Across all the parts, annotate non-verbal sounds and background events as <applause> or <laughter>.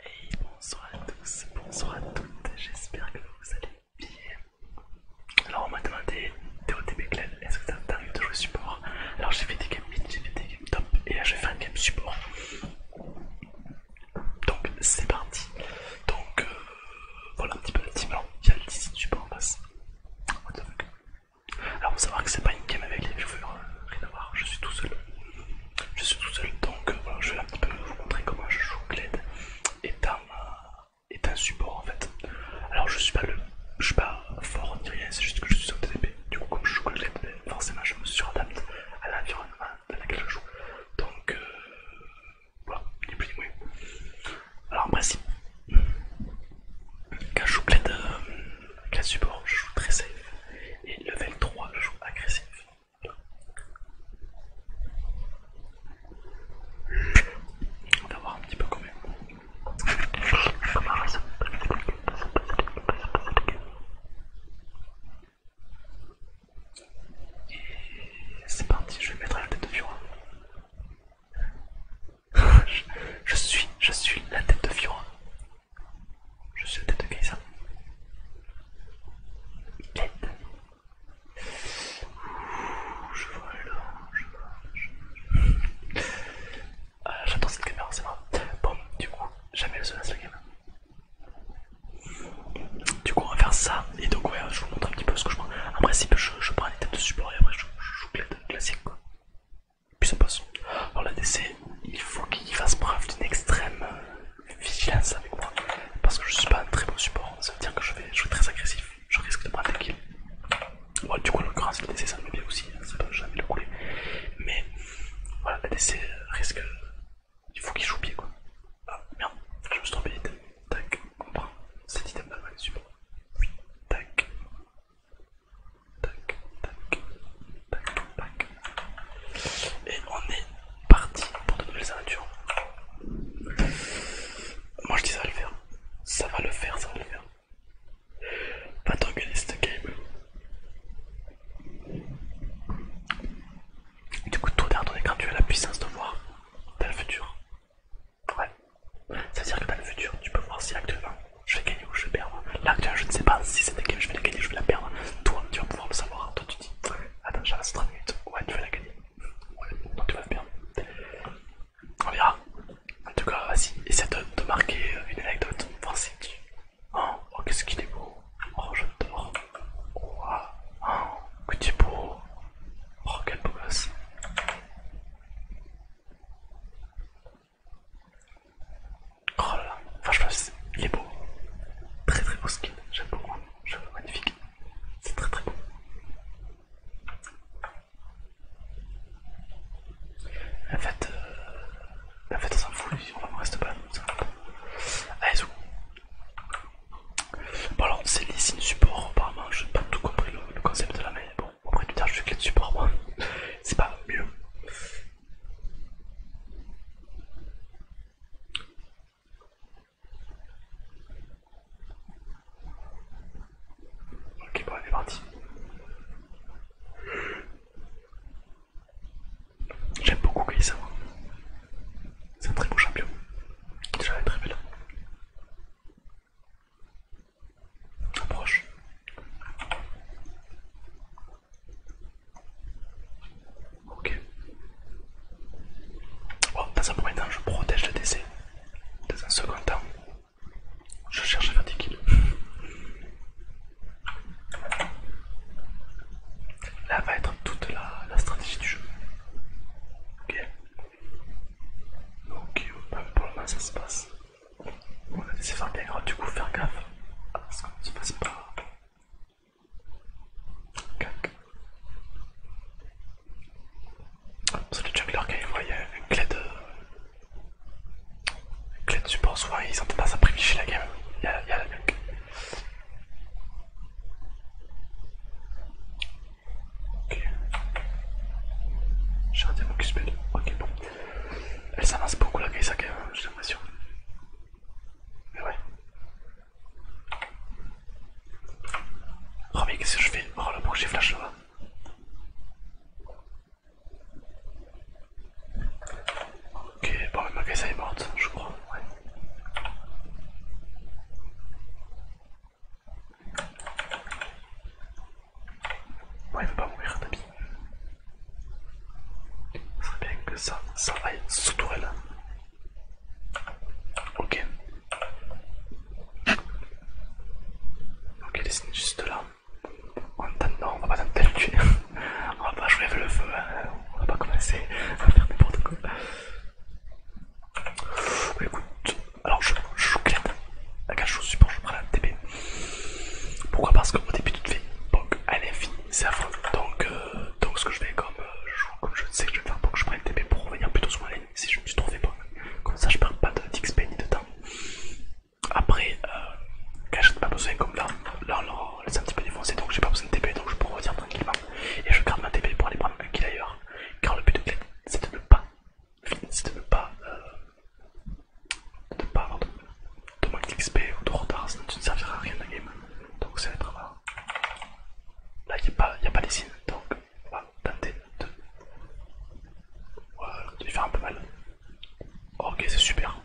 Hey, bonsoir à tous, bonsoir à toutes, j'espère que vous allez bien. Alors on m'a demandé, t'es au TB est-ce que t'as t'arrive de jouer support Alors j'ai fait des games mid, j'ai fait des games top et là je vais faire un game support. Donc c'est parti. Donc euh, voilà un petit peu la team. Alors il y a le 10 support en face. What the fuck. Alors faut savoir que c'est pas une game avec les viewers, hein. rien à voir, je suis tout seul. Je suis tout seul donc euh, voilà, je vais un petit peu vous montrer comment je joue Glade est un, euh, un support en fait. Alors je suis pas le je suis pas fort ni rien, c'est juste que je suis sur TDP. Du coup comme je joue Glade, forcément je me suradapte à l'environnement dans lequel je joue. Donc euh, voilà, est plus ni Alors moi, si. quand je joue de support, je joue très safe. Et level 3, je joue agressif. On va voir un petit peu quand et c'est parti, je vais mettre la tête de Fiora. <laughs> je, suis, je suis la tête de Fiora. Je suis la tête de Kaisa. je vois là, je vois. Je... Ah, J'adore cette caméra, c'est vrai. Bon, du coup, jamais le seul à ce game. Du coup on va faire ça et donc je vous montre un petit peu ce que je prends. En principe je, prends les têtes de support et après je, joue classique puis ça passe. Alors la DC il faut qu'il fasse preuve d'une extrême euh, vigilance avec moi. Parce que je suis pas un très bon support. Ça veut dire que je vais jouer très agressif. Je risque de prendre des kills. du coup l'occurrence la DC ça me met bien aussi, ça hein. peut jamais le couler. Mais voilà la DC risque il faut qu'il joue pied quoi. Ah merde, je me suis trompé Tac, on prend cet item là, super. tac. Tac, tac, tac, tac. Et on est parti pour de nouvelles aventures. Moi je dis ça va le faire. Ça va le faire, ça va le faire. Pas t'engueuler game. Du coup, tout derrière ton écran, tu as la puissance de voir. dans le futur. Ouais. Ça veut dire que dans le futur. Tu peux voir si actuellement je vais gagner ou je vais perdre. Là, je ne sais pas si c'est des game je vais la gagner ou je vais la perdre. Toi, tu vas pouvoir le savoir. Toi, tu dis Attends, j'ai 30 minutes. Ouais, tu vas la gagner. Ouais, non, tu vas la perdre. On verra. En tout cas, vas-y, essaie de, te marquer une anecdote. Voir si oh, oh, qu'est-ce qu'il est beau. Oh, je j'adore oh, que tu es beau. Oh, quel beau gosse. Oh là là, franchement, il est beau. Très très beau skin, j'aime beaucoup. magnifique. C'est très très beau. En fait, euh, on s'en fout, on va me rester pas. Allez, zou, Bon alors c'est les signes support apparemment, je n'ai pas tout compris le, concept de la mais bon après du tard je fais clé de support moi, <laughs> c'est pas mieux. Ok bon on est parti. J'aime beaucoup Grisama, hein. c'est un très beau champion. Déjà très belle. Approche. Ok. Oh, dans un premier temps, je protège le décès. Dans un second temps, je cherche à faire des kills. Là va être toute la stratégie du jeu. Ok. Ok, pour le moment ça se passe. On a des efforts bien grands, du coup faire gaffe. Parce qu'on ne se passe pas. Cac. Parce que le jungler quand il voit une clé de. Une clé de support, souvent ils ont pas à privilégier la game. il y a la nuque. Ok. J'ai diamant mon se Ok, bon. Elle s'avance beaucoup la Kaisaka, j'ai l'impression. Mais ouais. Oh, mais qu'est-ce que je fais Oh, le j'ai flash là-bas. Ok, bon, ma Kaisa est morte, je crois. Ouais, il veut pas mourir, d'habit. Ça serait bien que ça, ça aille sous tourelle. Ok. Ok, il est juste là. En attendant, on va pas dans le tuer. on va pas jouer avec le feu, hein. on va pas commencer à faire n'importe quoi. Bah, écoute, alors je, je joue clairement la cache au support, je prends la TP. Pourquoi Parce qu'au début tout fait POC est l'infini, c'est affreux. Donc, euh, donc ce que je vais euh, comme, je, sais que je vais faire POC, je prends le TP pour revenir plutôt sur ma lane si je me suis trouvé pas Comme ça je perds pas d'XP ni de temps. Après, cachette, euh, cache pas besoin comme là, là on Oh, c'est un petit peu défoncé donc j'ai pas besoin de TP donc je peux revenir tranquillement et je garde ma TP pour aller prendre un kill ailleurs car le but de c'est de pas c'est de ne pas euh, avoir de, de d'XP ou de retard sinon tu ne serviras à rien dans game donc c'est être euh, là il n'y a pas, y pas les signes donc on va tenter de lui faire un peu mal ok c'est super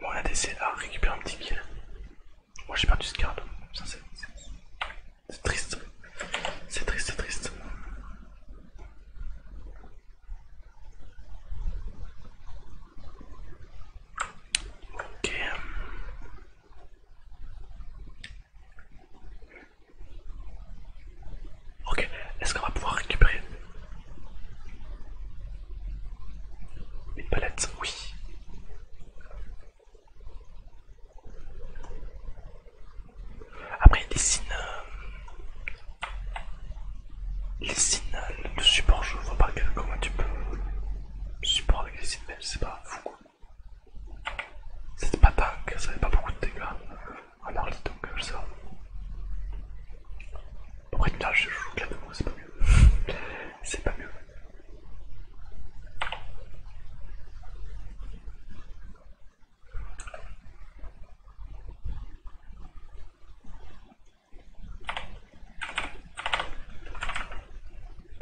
Bon, on a décidé à récupérer un petit kill moi j'ai perdu ce card. Ça c'est triste. C'est triste, c'est triste. Ok. Ok, est-ce qu'on va pouvoir récupérer une palette, oui. Après, les signes... Les signes de support. Je vois pas comment tu peux support avec les signes, mais c'est pas fou. C'était pas dingue, ça fait pas beaucoup de dégâts en early donc je euh, sais pas. Après là je joue clairement, c'est pas mieux c'est pas mieux.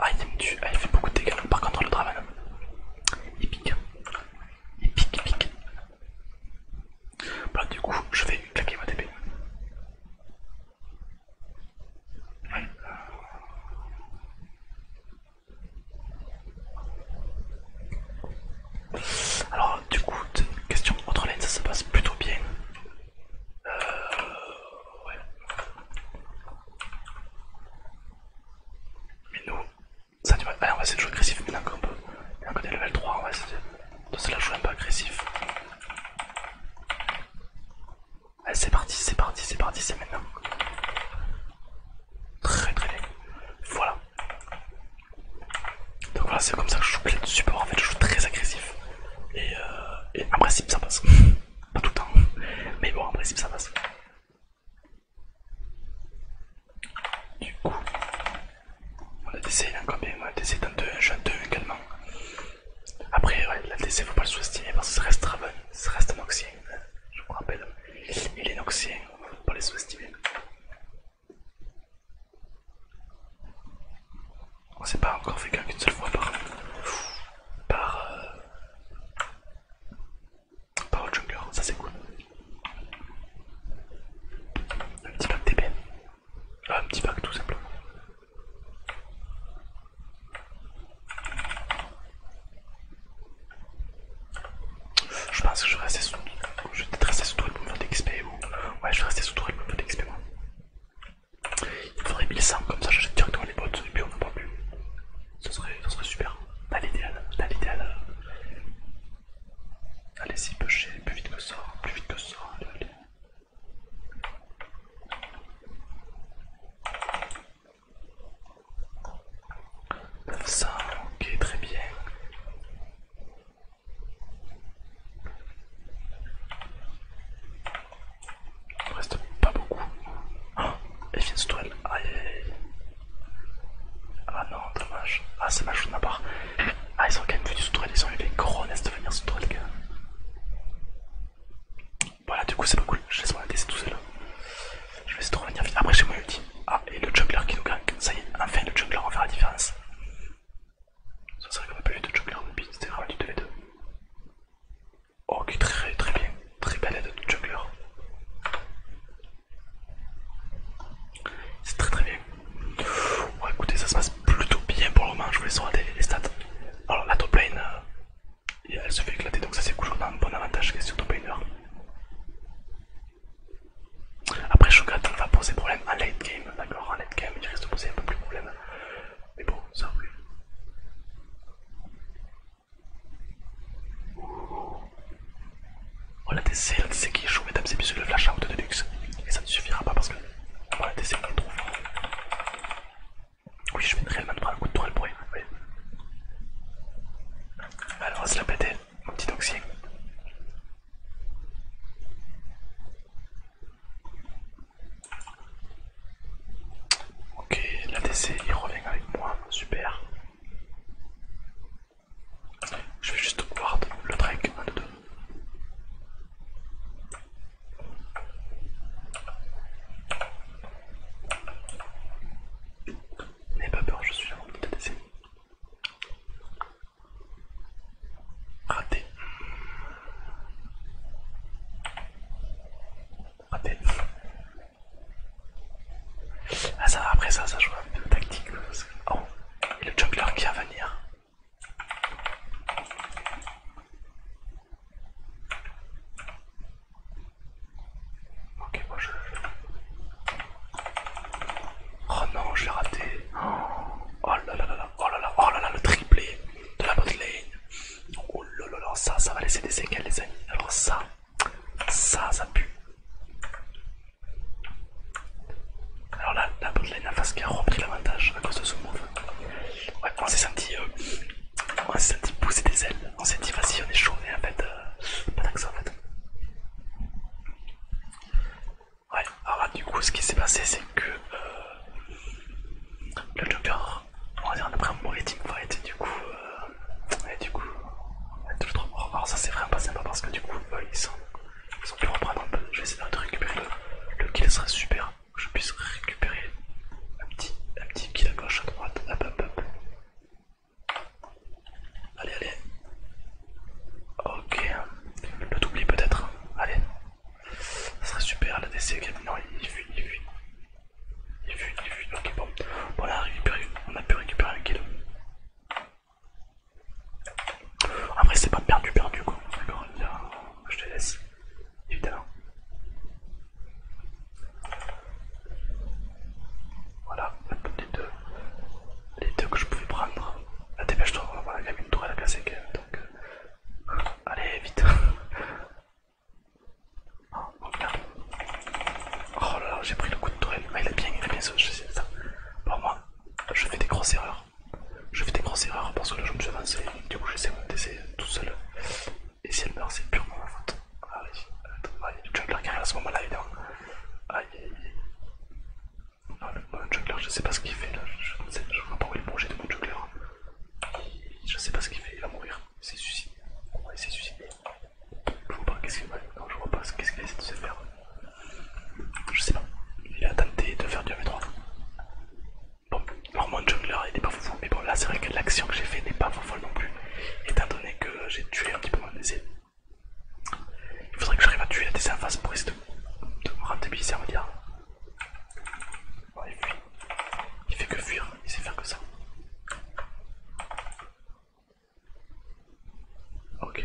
Ah il me tue, ah, fait beaucoup de dégâts. Par contre le Draven, il pique. Il pique, bah, du coup, je vais claquer ma TP. Alors du coup, question autre lane ça se passe plutôt bien. Euh, mais nous, ça ah, on va essayer de jouer agressif maintenant qu'on peut. Maintenant qu'on est level 3, on va essayer de se la jouer un peu agressif c'est parti, c'est parti, c'est parti, c'est maintenant. Très très bien. Voilà. Donc voilà, c'est comme ça que je joue clé de support. En fait, je joue très agressif. Et, euh, en principe, ça passe. <laughs> Pas tout le temps. Mais bon, en principe, ça passe. Du coup, on a décidé il a on a décidé d'un 2, un 1 également. Après, ouais, la DC, faut pas le sous-estimer parce que ça reste Raven, ça reste noxien. Hein. Je vous rappelle, il est noxien, faut pas le sous-estimer. On s'est pas encore fait qu'une une seule fois par. par. Euh, par jungler, ça c'est cool. Un petit pack TP. Ah, un petit bac tout simplement. Je pense que je vais rester sous Je vais peut sous tourelle pour me faire d'XP ou. Ouais je vais rester sous tourelle pour me faire d'XP moi. Il me faudrait 1100 comme ça j'achète directement les bottes et puis on n'en pas plus. Ça serait, super. Dans l'idéal, t'as l'idéal. Allez-y, pêchez, plus vite que ça, plus vite que ça, ça, ok, très bien. Il ne reste pas beaucoup. Et Effin's toile Aïe Ah non, dommage. Ah, c'est ma chose à part. Ah, ils sont quand même venus se ils ont eu les gros de venir se les gars. Voilà, du coup, c'est pas cool. Je laisse mon ADC tout seul. Je vais essayer de revenir vite. Après, chez moi ulti. Ah, et le jungler qui nous gagne. Ça y est, enfin, le jungler va faire la différence. Ça serait qu'on même pas vu de jungler depuis, c'était vraiment du 2v2. Ok, très très bien. Très belle aide de jungler C'est très très bien. Ouais, écoutez, ça se passe plutôt bien pour le moment. Je vous laisse rater les stats. Alors, la top lane, euh, elle se fait éclater, donc ça c'est toujours un bon avantage question top laner. Après, Shogat va poser problème en late game, d'accord En late game, il risque de poser un peu plus de problème. Mais bon, ça oui Voilà, c'est c'est qui joue, mesdames et messieurs, le flash out de luxe. Et ça ne suffira pas parce que DC on qu'on trouve. Oui, je vais réellement prendre un coup de tourelle pour oui. Alors, on va se la péter, mon petit oxygène. Ok, l'ADC il revient avec moi, super. Je vais juste voir le Drake un de deux. N'aie pas peur, je suis là pour te laisser. Raté. Raté. Ah ça après ça, ça joue un peu tactique. Oh, et le jungler qui va venir. Ok, moi je... Oh non, j'ai raté. Oh là là là là, oh là là, oh là là, le triplé de la bot Oh là là ça, ça va laisser des séquelles les amis. Alors ça, ça, ça pue. Alors là, la botlane en face qui a repris l'avantage à cause de ce move. Ouais, euh, on s'est senti, pousser des ailes. On s'est dit, vas-y, on est chaud, mais en fait, euh, pas d'accent en fait. Ouais, alors là, du coup, ce qui s'est passé, c'est que euh, le Joker, on va dire, on a pris un mauvais team fight, et du coup, euh, du coup, on est Alors, ça, c'est vraiment pas sympa parce que du coup, ils sont reprendre je vais essayer de récupérer le, kill, kill, serait super. Que je puisse récupérer un petit, kill à gauche, à droite. Hop, hop, hop. Allez, allez. Ok. Le doublé peut-être. Allez. ce serait super. La DC, non, il fuit, il fuit. Il fuit, il fuit. Ok, bon. Voilà, on a pu récupérer un kill. Après, c'est pas perdu, perdu quoi. D'accord, je te laisse, évidemment. Voilà, les deux, les deux que je pouvais prendre. Ah, la dépêche-toi, voilà, y voir une tourelle à casser donc. Euh, allez, vite! <laughs> Ah, oh, oh, là là, j'ai pris le coup de tourelle. Ah, il est bien, il est bien ça. Pour moi, je fais des grosses erreurs. Je fais des grosses erreurs parce que là je me suis avancé, du coup j'essaie de me laisser tout seul. Et si elle meurt, c'est purement ma faute. Allez, a le jungler qui arrive à ce moment-là, évidemment. Aïe aïe aïe. Ah, le juggler jungler, je sais pas ce qu'il fait là, je, sais, vois pas où est le projet de mon jungler. Je sais pas ce qu'il fait, il va mourir, il s'est suicidé. il s'est suicidé. Je vois pas qu'est-ce qu'il va. Non, je vois pas qu'est-ce qu'il essaie de se faire. Je sais pas. Il a tenté de faire du m 3 Bon, alors mon jungler il n'est pas foufou, mais bon là c'est vrai que l'action que j'ai fait n'est pas fofolle non plus, étant donné que j'ai tué un petit peu mon DC. Il faudrait que j'arrive à tuer la DC en face pour essayer de, de me on va dire. il fuit. Il fait que fuir, il sait faire que ça. Ok.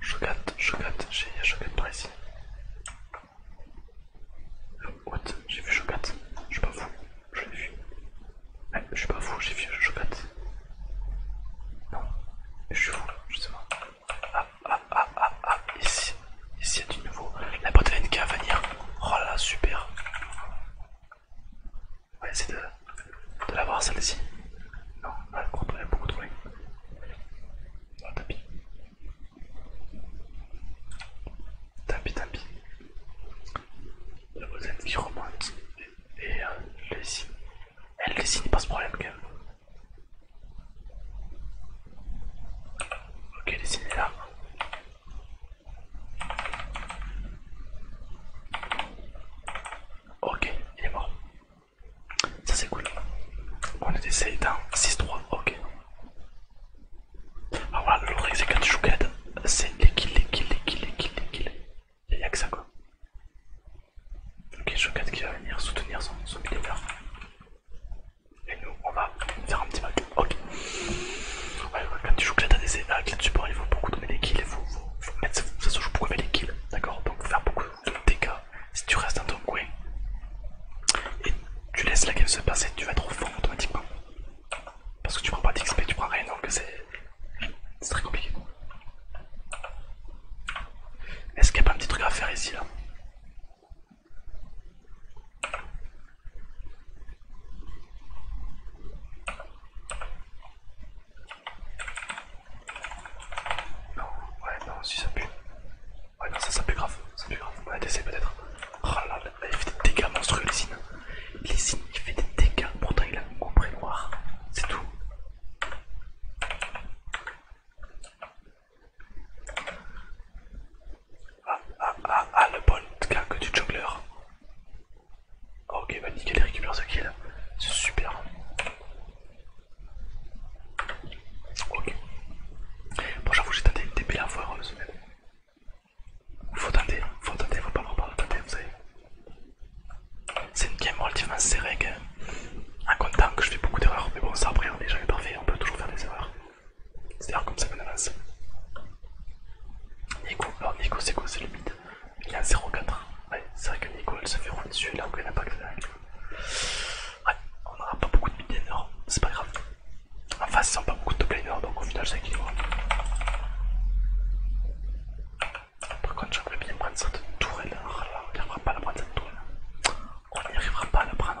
il chocotte, j'ai chocotte par ici. What J'ai vu chocate. Je suis pas fou, je l'ai vu. je suis pas fou, j'ai vu chocate. Non, je suis fou, je sais pas. Ah, ah, ah, ah, ah, ici, ici il y a du nouveau. La boîte de NK à venir. Oh là, super. Ouais, c'est de, de l'avoir celle-ci. Non, elle est beaucoup trop loin. Oh, ah, tant pis. Tant pis, tant pis. La voisine qui remonte et, euh, elle le signe. Elle le signe pas ce problème quand même. Ok, les est là. Ok, il est mort. Ça c'est cool. On est décidé dans 6-3, ok. Alors ah, voilà, le risque c'est quand c'est les kills, les kills, les kills, les kills, les kills. Il n'y a que ça quoi. Ok, Shokad qui va venir soutenir son, son millénaire. Et nous, on va faire un petit bug, Ok. quand tu joues à des avec il faut beaucoup donner les kills. faut, mettre, ça se joue beaucoup avec les kills. D'accord Donc, faire beaucoup dégâts si tu restes dans ton coin. Et tu laisses la game se passer, tu vas trop fond automatiquement. Parce que tu prends pas d'XP, tu prends rien, donc c'est très compliqué. Est-ce qu'il n'y a pas un petit truc à faire ici là non, ouais, non, si ça pue. Ouais, non, ça, ça pue grave. Ça pue grave. on va essayer peut-être. Oh il fait des dégâts monstrueux, Lysine. Lysine, il fait des dégâts. Pourtant, il a près noir. C'est tout. Ah, ah, ah, ah le bon de que du jongler. Oh, ok, bah nickel, il récupère ce kill. C'est super. Ok. Bon, j'avoue, j'ai tenté une TP la fois heureuse, mais Faut tenter, hein. faut tenter, faut pas avoir peur tenter, vous savez. C'est une game relativement serrée, En comptant que je fais beaucoup d'erreurs, mais bon, ça après, on est jamais parfait, on peut toujours faire des erreurs. C'est d'ailleurs comme ça qu'on avance. Nico, alors Nico, c'est quoi C'est le il y a 0,4. Ouais, c'est vrai que Nico se fait rouler dessus là où n'a pas que on n'aura pas beaucoup de mid c'est pas grave. En face ils n'ont pas beaucoup de top donc au final, c'est équilibre. Par contre, j'aimerais bien prendre cette tourelle. Là, on n'arrivera pas à la prendre cette tourelle. On n'y arrivera pas à la prendre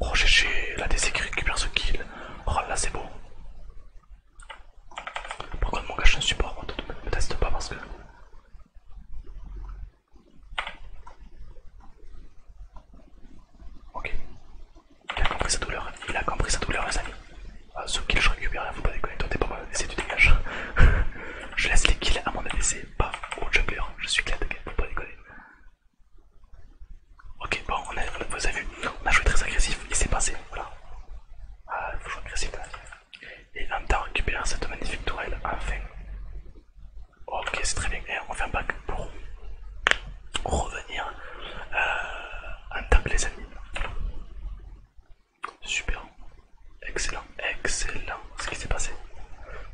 Oh j'ai la qui récupère ce kill. Oh là c'est beau. Pourquoi le mon cache je un support, ne me teste pas parce que... Ok. Il a compris sa douleur, il a compris sa douleur les amis. Ah, ce kill je récupère, faut pas déconner, toi t'es pas mal, c'est tu dégage. <laughs> je laisse les kills à mon ADC pas bah, au gros jungler, je suis clair de pas déconner. Ok, bon, on a, vous avez vu, on a joué très agressif, il s'est passé, voilà. Ah, il faut jouer agressif Et en temps, récupérer cette magnifique tourelle, enfin. Ok, c'est très bien, et on fait un back pour revenir euh, en les amis Super, Excellent, excellent ce qui s'est passé.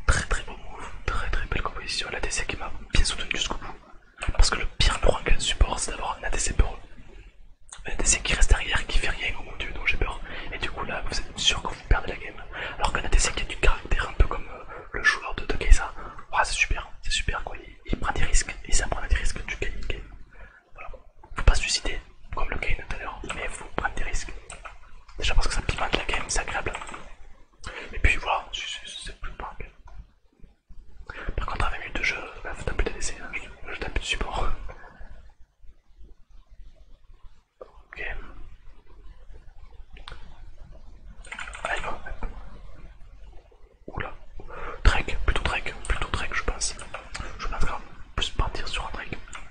Très très beau move, très très belle composition. La qui m'a bien soutenu jusqu'au bout. Parce que le pire roi qu'elle supporte, c'est d'avoir un ADC peureux. Un ADC qui reste derrière, qui fait rien, oh mon dieu, donc j'ai peur. Et du coup, là, vous êtes sûr que vous perdez la game. Alors qu'un ADC qui a du caractère, un peu comme euh, le joueur de, de c'est super, c'est super quoi. Il, prend des risques, il prend des risques, tu gagnes game. faut pas se suicider, comme le gain tout à l'heure, mais il faut prendre des risques. Déjà parce que ça pimente la game, c'est agréable. Et puis voilà, c'est plus punk. Par contre, avec 20 minutes de jeu, bah, plus tapez des hein. je, plus de support. Ok. Allez, Oula. Trek, plutôt trek, plutôt trek, je pense. Je pense qu'on peut se partir sur un trek.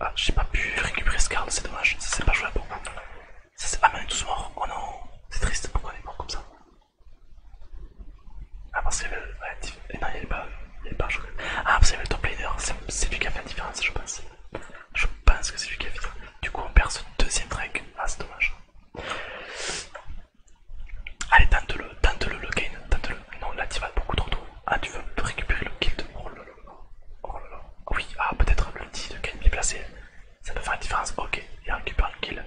Ah, j'ai pas pu récupérer ce card, c'est dommage, ça s'est pas joué à beaucoup. Ah mais on est tous morts, oh non, c'est triste, pourquoi on est morts comme ça Ah, parce qu'il y avait le. Eh il pas. Il pas Ah, parce qu'il top laner, c'est lui qui a fait la différence, je pense. Je pense que c'est lui qui a fait ça. Du coup, on perd ce deuxième drag, ah, c'est dommage. Allez, tente-le, tente-le, le gain, tente-le. Non, là tu vas beaucoup trop tôt. Ah, tu veux récupérer le kill de roll? Oh Oui, ah peut-être le l'ulti de Kenby placé. Ça peut faire une différence. Ok, il récupère le kill.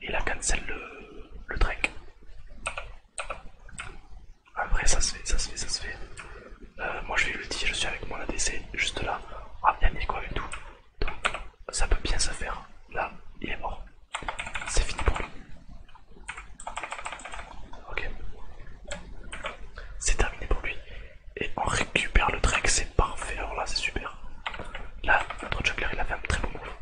Il a cancelé le, le Après ça se fait, ça se fait, ça se fait. Euh, moi je vais le l'ulti, je suis avec mon ADC juste là. Ah il y a quoi avec tout. Donc ça peut bien se faire. Là, il est mort. C'est fini pour lui. Ok. C'est terminé pour lui. Et on récupère le Drake, c'est parfait. Alors là, c'est super. Là, notre juggler il a fait un très bon move.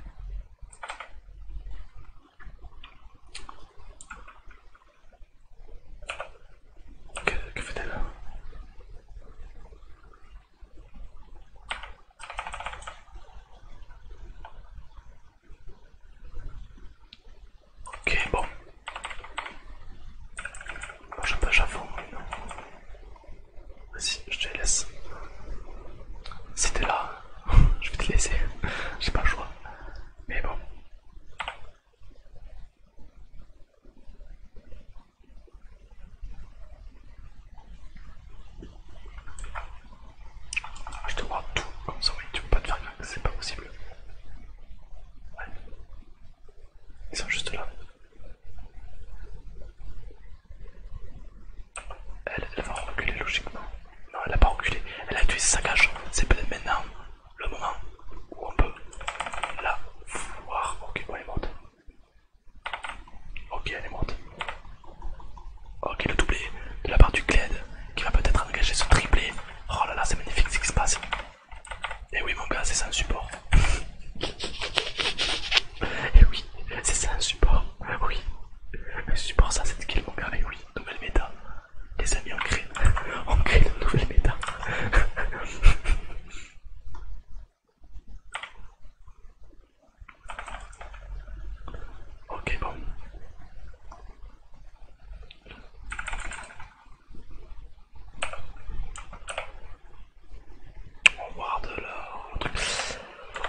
Que, que fait-elle Ok, bon. je je te laisse. Si là, <laughs> je vais te laisser. <laughs> J'ai pas le choix. Mais bon. Je te vois tout comme ça, oui, tu peux pas te faire c'est pas possible. Ils sont juste là. Elle, va reculer logiquement. Non, elle a pas reculé. Elle a tué sa cage. C'est peut-être maintenant le moment où on peut la voir. Ok, bon, elle est morte. Ok, elle est morte. Ok, le doublé de la part du Cled qui va peut-être engager ce triplé Oh là là, c'est magnifique ce qui se passe. Et eh oui, mon gars, c'est ça un support. <laughs> Et eh oui, c'est ça un support. Oui, un support, ça c'est skill, mon gars. Et eh oui, nouvelle méta. Les amis, on crée, <laughs> on crée une nouvelle méta. <laughs> Ok, bon. On voir de là.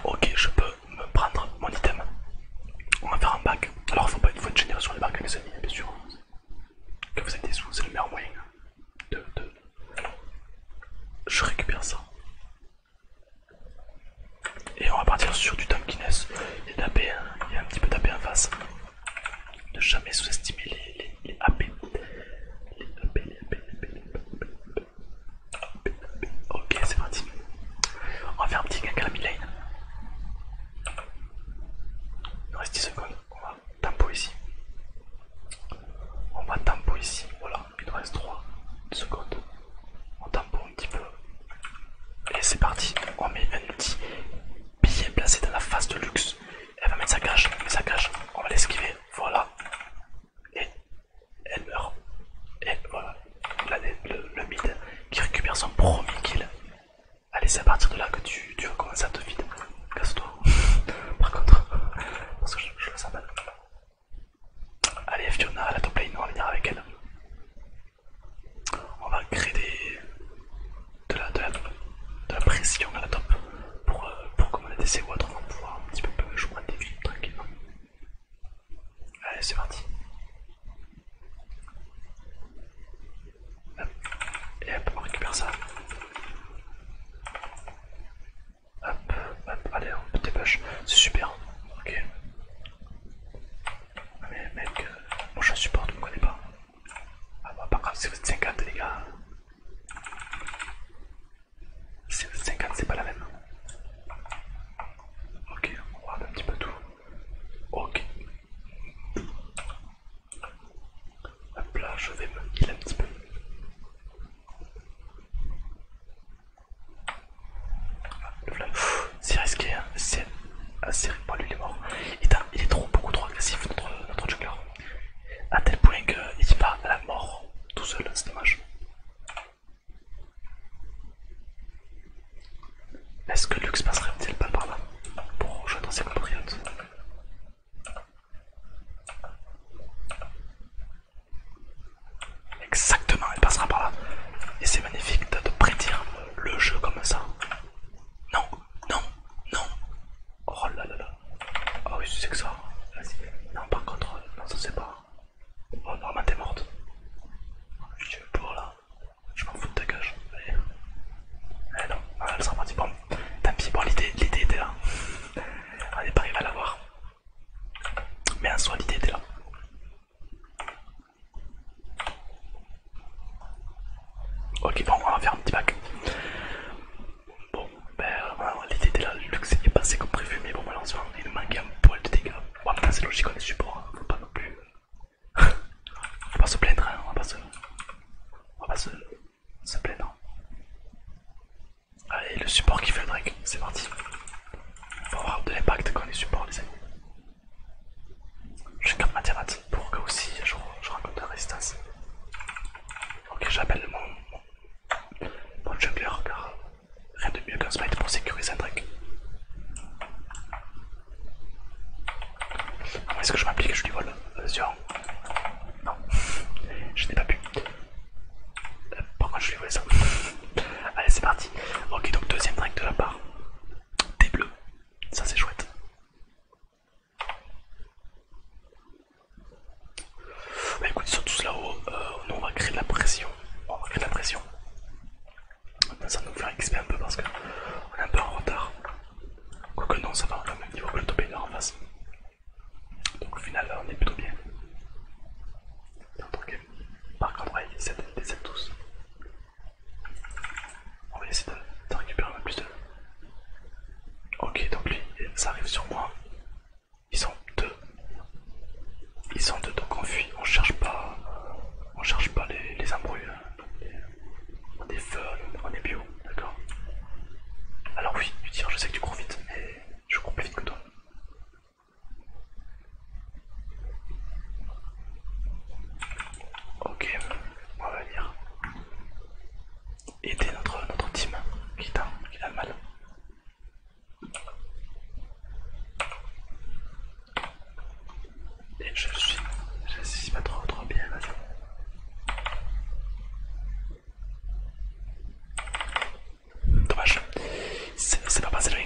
Ok, je peux me prendre mon item. On va faire un bac. Alors, faut pas, fois de une génération de bacs, mes amis, bien sûr. Que vous êtes des sous, c'est le meilleur moyen. De, Je récupère ça. Et on va partir sur du Dunkiness il y a un petit peu tapé en face. Ne jamais sous-estimer les, les, AP. Les les Ok, c'est parti. On va faire un petit gank à la lane. Il reste 10 secondes. On va tempo ici. On va tempo ici. Voilà, il nous reste 3 secondes. On tempo. Et c'est parti, on met un outil bien placé dans la phase de luxe. Elle va mettre sa cage, sa cage, on va l'esquiver, voilà. Et elle meurt. Et voilà, le, mid qui récupère son premier kill. Allez, c'est à partir de là que tu, vas commencer à te vider. Casse-toi. <laughs> Par contre, parce que je, fais le mal. Allez, Fiona, la top lane, on va venir avec elle on va créer de, la, pression à la top pour, que euh, pour C ou autre, on va pouvoir un petit peu jouer un des défi, tranquillement. Allez, c'est parti. Et hop, on récupère ça. Hop, hop, allez, on dépêche. C'est super. Ok. Ah mais mec, euh, moi je supporte, vous me connaissez pas. Ah bah pas grave, c'est vous êtes 50 les gars. Si vous êtes 50 c'est pas la même. Ok, on regarde un petit peu tout. Ok. Hop là, je vais me heal un petit peu. Ah, le flamme c'est risqué, hein. c'est assez ah, lui il est mort. Il, est trop beaucoup trop agressif notre, notre A tel point qu'il va à la mort tout seul, c'est dommage. Est-ce que Lux passerait-il pas par là pour rejoindre ses compatriotes Exactement, elle passera par là. Et c'est magnifique de prédire le jeu comme ça. Non, non, non. Oh là là là. oh oui, c'est que ça. Non, par contre, non, ça c'est pas. Oh normalement t'es morte. Je pour là. Je m'en fous de ta cage. Allez. Eh non, ah, elle sera partie. Bon, tant pis. Bon, l'idée l'idée était là. On n'est pas va à l'avoir. Mais en soi, l'idée était là. Ok, bon, on va faire un petit bac. Bon, ben, l'idée était là, le luxe pas passé comme prévu, mais bon, malheureusement, il manque un poil de dégâts. Bon, maintenant c'est logique, on est support, hein, faut pas non plus. faut <laughs> pas se plaindre, hein, on va pas se. On va pas se, plaindre. Allez, le support qui fait le drake, c'est parti. On va avoir de l'impact quand on est support, les amis. Je J'ai ma mathématiques pour que aussi je, je raconte la résistance. Ok, j'appelle mon, jungler car rien de mieux qu'un smite pour sécuriser un truc. est-ce que je m'applique Je lui vole Non, <laughs> je n'ai pas pu. Euh, pourquoi je lui vole ça <laughs> Allez, c'est parti. Ok, donc deuxième drake de la part des bleus. Ça c'est chouette. Bah écoute, ils sont tous là-haut. Euh, nous on va créer de la pression. On va créer de la pression. Ça nous faire XP un peu parce que on est un peu en retard. Quoique non, ça va, quand même niveau que le top en face. Donc au final, on est plutôt bien. Par contre, va y 7 tous. On va essayer de, récupérer un peu plus de... Ok, donc lui, ça arrive sur moi. Ils sont deux. Ils sont deux, donc on fuit. On cherche pas, on cherche pas les, les embrouilles. Hein. On est fun, on est bio, d'accord Alors oui, tu tires, je sais que tu cours vite, mais je cours plus vite que toi. Ok, on va venir aider notre, notre team qui a, qui a mal. Et je suis, je suis pas trop trop bien, vas-y. Dommage, c'est pas passé le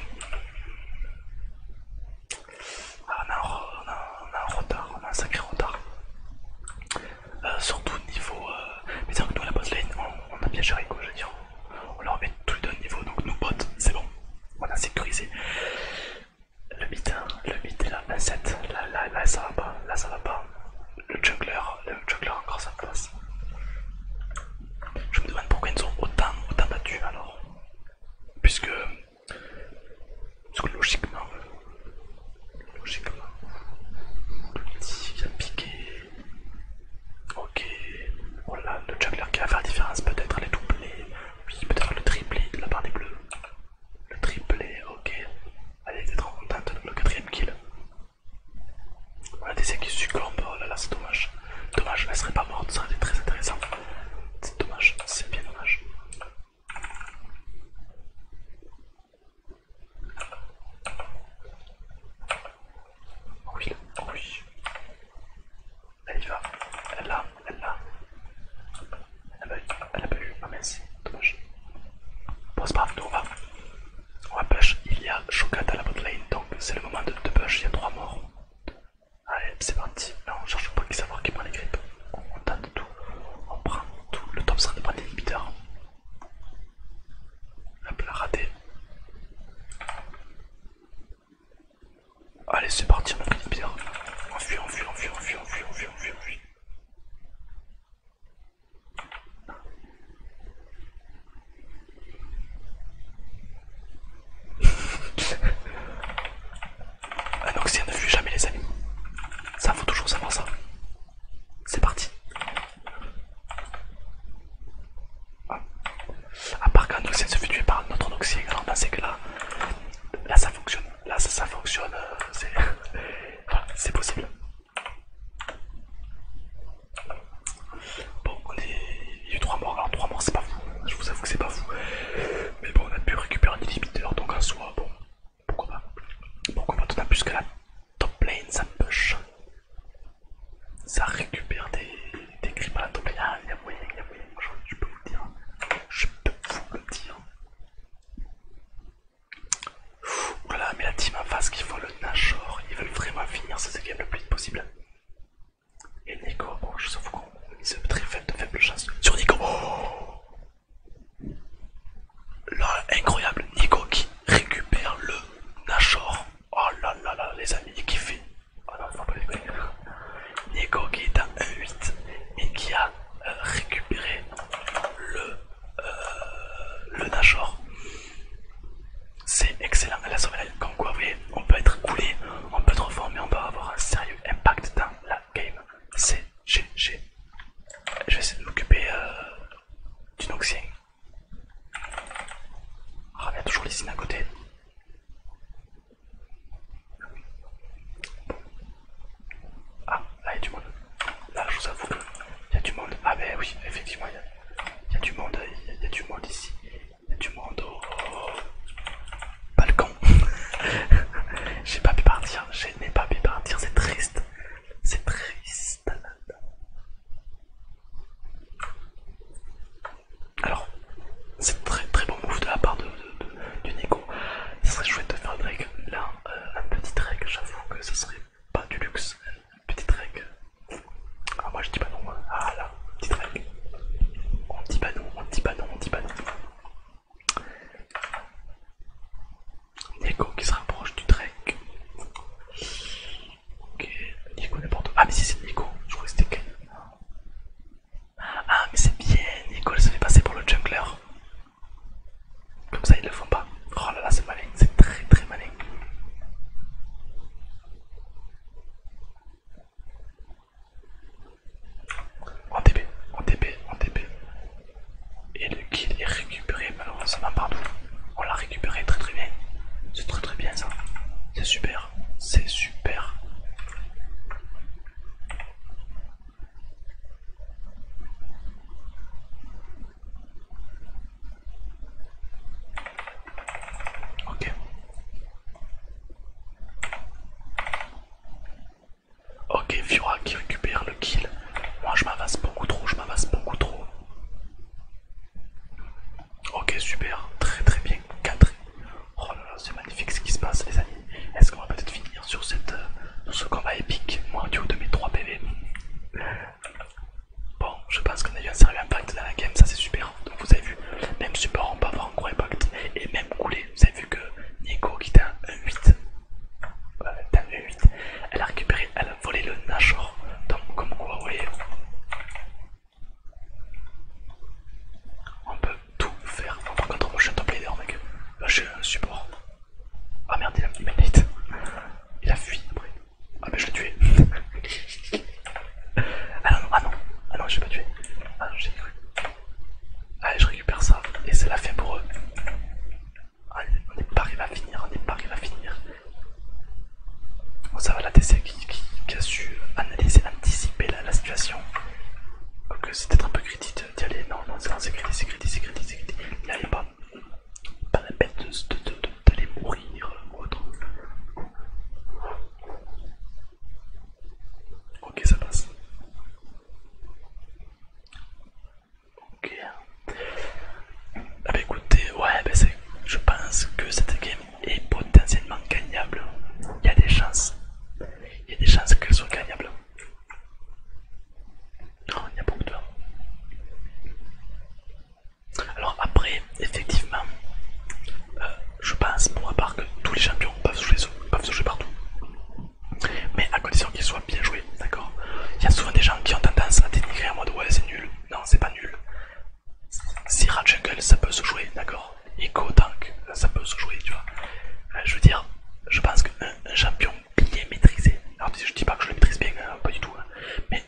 ah, on, a un, retard, on a un sacré retard. Surtout euh, surtout niveau. Euh, Mais c'est que nous, la boss lane, on, a bien géré quoi, je veux dire. On leur met tous les deux niveau, donc nous bots, c'est bon. On a sécurisé. Le mid, hein, le bit est là, 27. Là, là, ça va pas, là, ça va pas. Le jungler le jungler encore ça passe. Je me demande pourquoi ils nous ont autant, autant battu alors. Puisque, logiquement, logiquement, le petit vient a piqué, ok, voilà, le juggler qui va faire la différence, peut-être les doublés, oui, peut-être le triplé de la part des bleus, le triplé, ok, allez c'est trop contente, le quatrième kill, on a des qui succombent, oh là là, c'est dommage. Dommage, elle serait pas morte, ça aurait été très intéressant. C'est dommage, c'est bien dommage. Oui, oui. Elle y va. Elle l'a, elle l'a. Elle a pas, elle a pas eu. Ah mince, dommage. c'est pas on va. On va push. Il y a Shokat à la botlane, donc c'est le moment de, de push. Il y a trois morts. Allez, c'est parti. on cherche pas qui savoir qui prend les grippes. On, tente tout. On prend tout. Le top sera de prendre des inhibiteurs. Hop là, raté. Allez, c'est parti, on a l'inhibiteur. On fuit, on fuit, on fuit, on fuit, on fuit, on fuit, on fuit, on fuit. Un <laughs> oxygène ne fuit jamais les amis. Ça faut toujours savoir ça. C'est parti. A ah. À part qu'un se fait tuer par notre autre alors là c'est que là, là ça fonctionne. Là ça, fonctionne. Euh, <laughs> c'est possible. Bon, on est il y a eu 3 morts. Alors 3 morts c'est pas fou, je vous avoue que c'est pas fou. Mais bon on a pu récupérer un illimiteur donc en soit, bon pourquoi pas. Pourquoi pas on a plus que la top lane ça push. Ça récupère des, des creeps à la top lane. Ah, il y a moyen, il y a moyen, je peux vous le dire. Je peux vous le dire. voilà, mais la team en face qui font le Nashor, ils veulent vraiment finir cette game le plus vite possible. Et Nico, je je sauf qu'on une très faible, de faible chance. Sur Nico. Oh là, incroyable. Nico qui récupère le Nashor. Oh là là là, les amis, qui fait. Oh non, faut pas déconner. Nico qui est à 1-8 et qui a euh, récupéré le, euh, le Nashor. C'est excellent la sommeil, comme quoi vous voyez, on peut être coulé, on peut être fort, on peut avoir un sérieux impact dans la game. C'est GG. Je vais essayer de m'occuper euh, du Noxien. Ah, il y a toujours les signes à côté. Ah, là il y a du monde. Là, je vous avoue qu'il y a du monde. Ah, ben oui, effectivement, du monde. il y a du monde ici du monde balcon. <laughs> j'ai pas pu partir, j'ai pas pu partir, c'est triste. C'est triste. Alors, c'est très très bon move de la part de, du Nico. Ça serait chouette de faire un là, euh, un petit reg, j'avoue que ça serait pas du luxe. un petit reg ah, moi je dis pas non. Hein. Ah là, petit trek. On dit pas non, on dit pas non, on dit pas non. Nico qui se rapproche du Drake. Ok, Nico n'importe Ah, mais si c'est Nico, je crois que c'était quel. Ah, ah, mais c'est bien, Nico se fait passer pour le jungler. Comme ça, ils le font pas. Oh là là, c'est malin, c'est très très malin. En TP, en TP, en TP, Et le kill est récupéré malheureusement va On l'a récupéré très très bien. C'est très très bien ça. C'est super. C'est super. Ok. Ok, Fiora qui récupère le kill. Moi je m'avance beaucoup trop, je m'avance beaucoup trop. Ok, super, très très bien cadré. Oh là là, c'est magnifique ce qui se passe, les amis. Est-ce qu'on va peut-être finir sur euh, ce combat épique Moi, haut de mes 3 PV. Bon, je pense qu'on a eu un sérieux impact dans la game, ça c'est super. Donc vous avez vu, même support en avoir encore impact et même coulé. Vous avez vu que Nico qui t'a un 8, elle a récupéré, elle a volé le Nashor. Donc comme quoi, vous voyez, on peut tout faire. par contre, moi je suis un top leader mec. Là j'ai un support. Ah merde, il a mis ma Il a fui après. Ah mais je l'ai tué. <laughs> Ah, ah non, ah non, je suis pas tué, Ah non, j'ai cru. Allez, je récupère ça et c'est la fin pour eux. Allez, ah, on est pas arrivé à finir, on n'est pas arrivé à finir. Bon, ça va, la DC qui, a su analyser, anticiper la, situation. parce c'est peut-être un peu critique d'y aller. Non, non, c'est critique, c'est critique, c'est critique, c'est critique. N'y allez pas. Pas la peine d'aller de, mourir ou autre. Ok, ça passe. Ok. Ah, bah, écoutez, ouais, bah, Je pense que cette game est potentiellement gagnable. Il y a des chances. Il y a des chances qu'elle soit gagnable. Non, il y a beaucoup de toi. Alors après, effectivement, euh, je pense pour ma part que tous les champions peuvent se jouer, peuvent jouer partout. Mais à condition qu'ils soient bien joués, d'accord Il y a souvent des gens qui ont tendance à dénigrer en mode ouais c'est nul, non c'est pas nul. Si Jungle ça peut se jouer, d'accord Eco Tank ça peut se jouer, tu vois. Euh, je veux dire, je pense qu'un champion bien maîtrisé, alors je dis pas que je le maîtrise bien, euh, pas du tout, hein, mais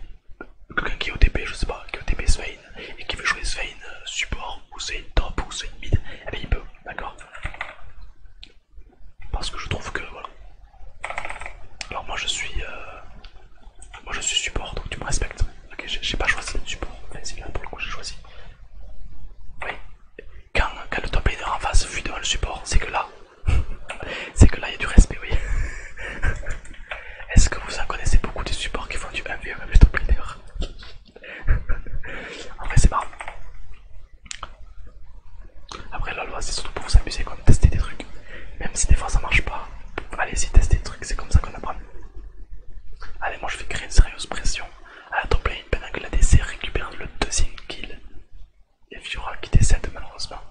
quelqu'un qui est OTP, je sais pas, qui est OTP Svein et qui veut jouer Svein euh, support ou Svein top ou Svein mid, eh bien il peut, d'accord Parce que je trouve que voilà. Alors moi je suis euh, moi je suis support donc tu me respectes. Ok, j'ai pas choisi de support, enfin c'est bien pour le coup j'ai choisi. Oui, quand, quand le top laner en face fuit devant le support, c'est que là, <laughs> c'est que là il y a du respect, oui. <laughs> Est-ce que vous en connaissez beaucoup des supports qui font du MVM avec juste top c'est marrant. Après la loi c'est surtout pour vous amuser comme tester des trucs. Même si des fois ça marche pas, allez-y tester des trucs, c'est comme ça qu'on apprend. Allez moi je vais créer une sérieuse pression à la top une pendant que la DC récupère le deuxième kill. Et Fiora qui décède malheureusement.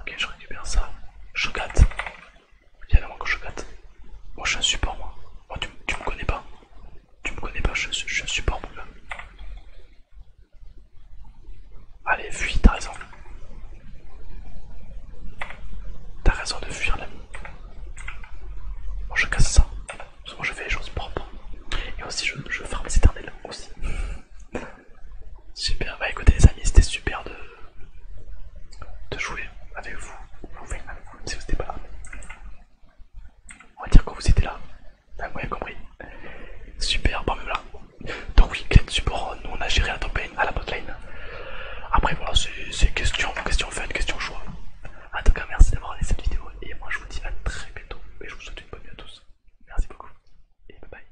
Ok je récupère ça. chocate. Il y a moins que je gâte. Moi je suis un support moi. Oh, tu, tu me connais pas. Tu me connais pas, je, suis un support mon Allez, fuis, t'as raison. T'as raison de fuir l'ami. Moi je casse ça. Parce que moi je fais les choses propres. Et aussi je, je ferme les éternels aussi. Super, bah écoutez les amis, c'était super de, jouer avec vous, si vous n'étiez pas là. On va dire que vous étiez là, vous avez compris. Super, bon même là. Donc oui, client support, nous on a géré la top à la bot Après voilà, c'est question, question fun, question choix. En tout cas, merci d'avoir regardé cette vidéo et moi je vous dis à très bientôt et je vous souhaite une bonne nuit à tous. Merci beaucoup et bye bye.